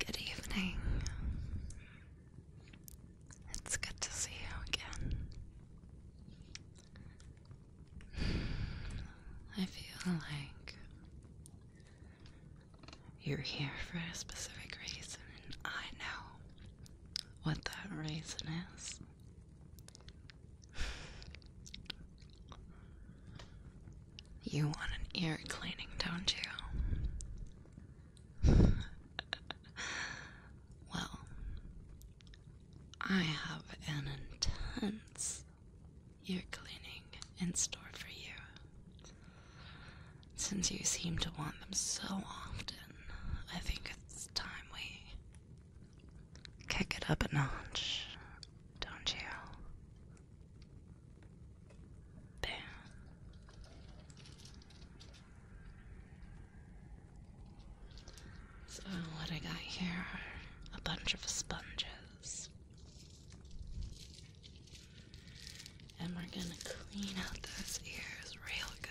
Good evening. It's good to see you again. I feel like you're here for a specific reason, and I know what that reason is. You want an ear cleaning, don't you? well, I have an intense ear cleaning in store for you. Since you seem to want them so often, I think it's time we kick it up a notch, don't you? Bam. So, what I got here a bunch of sponges. And we're gonna clean out those ears real good.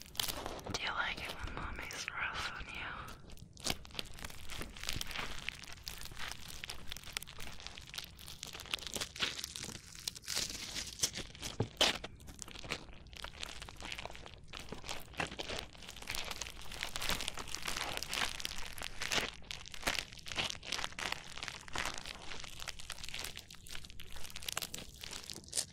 Do you like it when mommy's rough on you?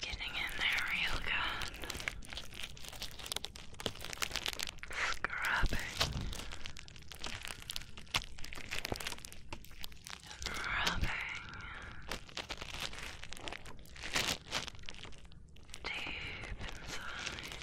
Getting in there real good. Scrubbing. And rubbing. Deep inside.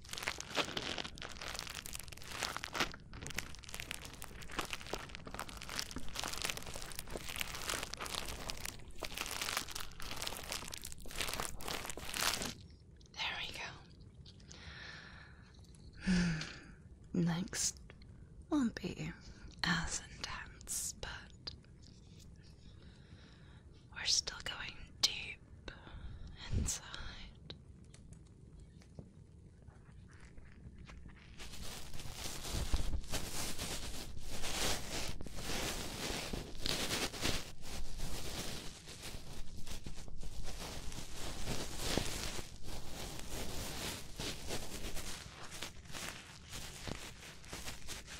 There we go. Next won't be as intense, but we're still going deep inside.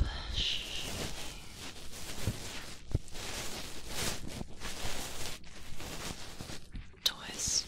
Push. Twist.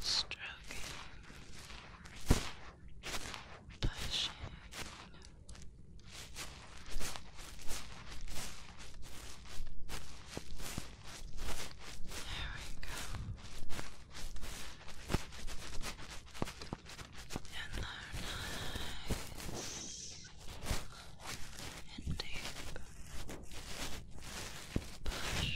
Stroking, pushing. There we go and they're nice and deep. Push, push,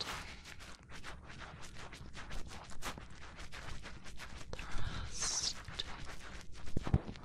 twist. Thrust,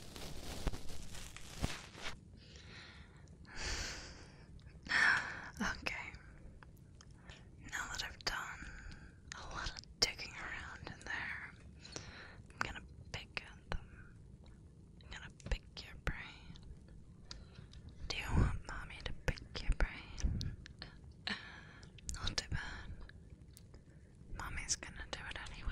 Okay. Now that I've done a lot digging around in there, I'm gonna pick at them. I'm gonna pick your brain. Do you want mommy to pick your brain? Uh, uh, not too bad. Mommy's gonna do it anyway.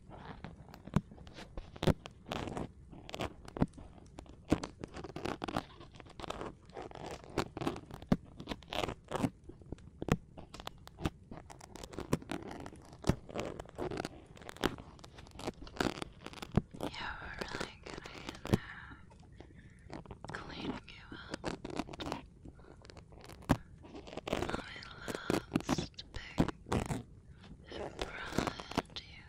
Yeah, we're really good at uh, cleaning you up relaxed, big, and proud you.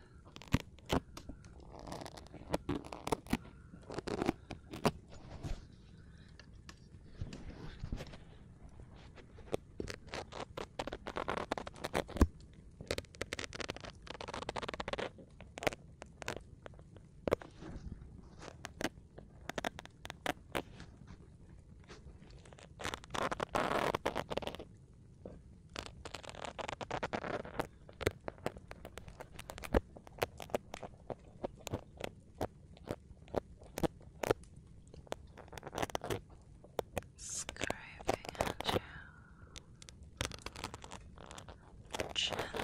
Scraping you gently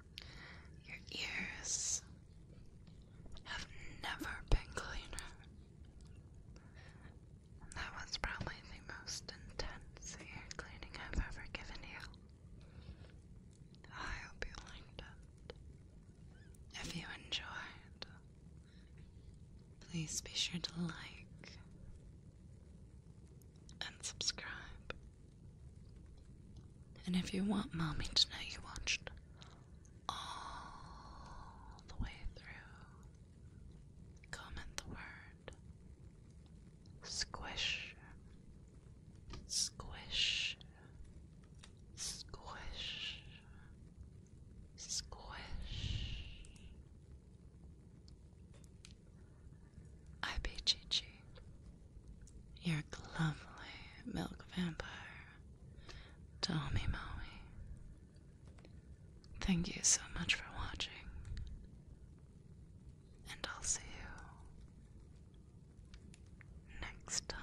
Your ears have never been cleaner. that was probably the most intense ear cleaning I've ever given you. I hope you liked it. If you enjoyed, please be sure to like and subscribe. And if you want mommy to know you watched all the way through, comment the word squish, squish, squish, squish. I IPGG. You're a lovely milk vampire. Tommy Maui. Thank you so much for watching. And I'll see you next time.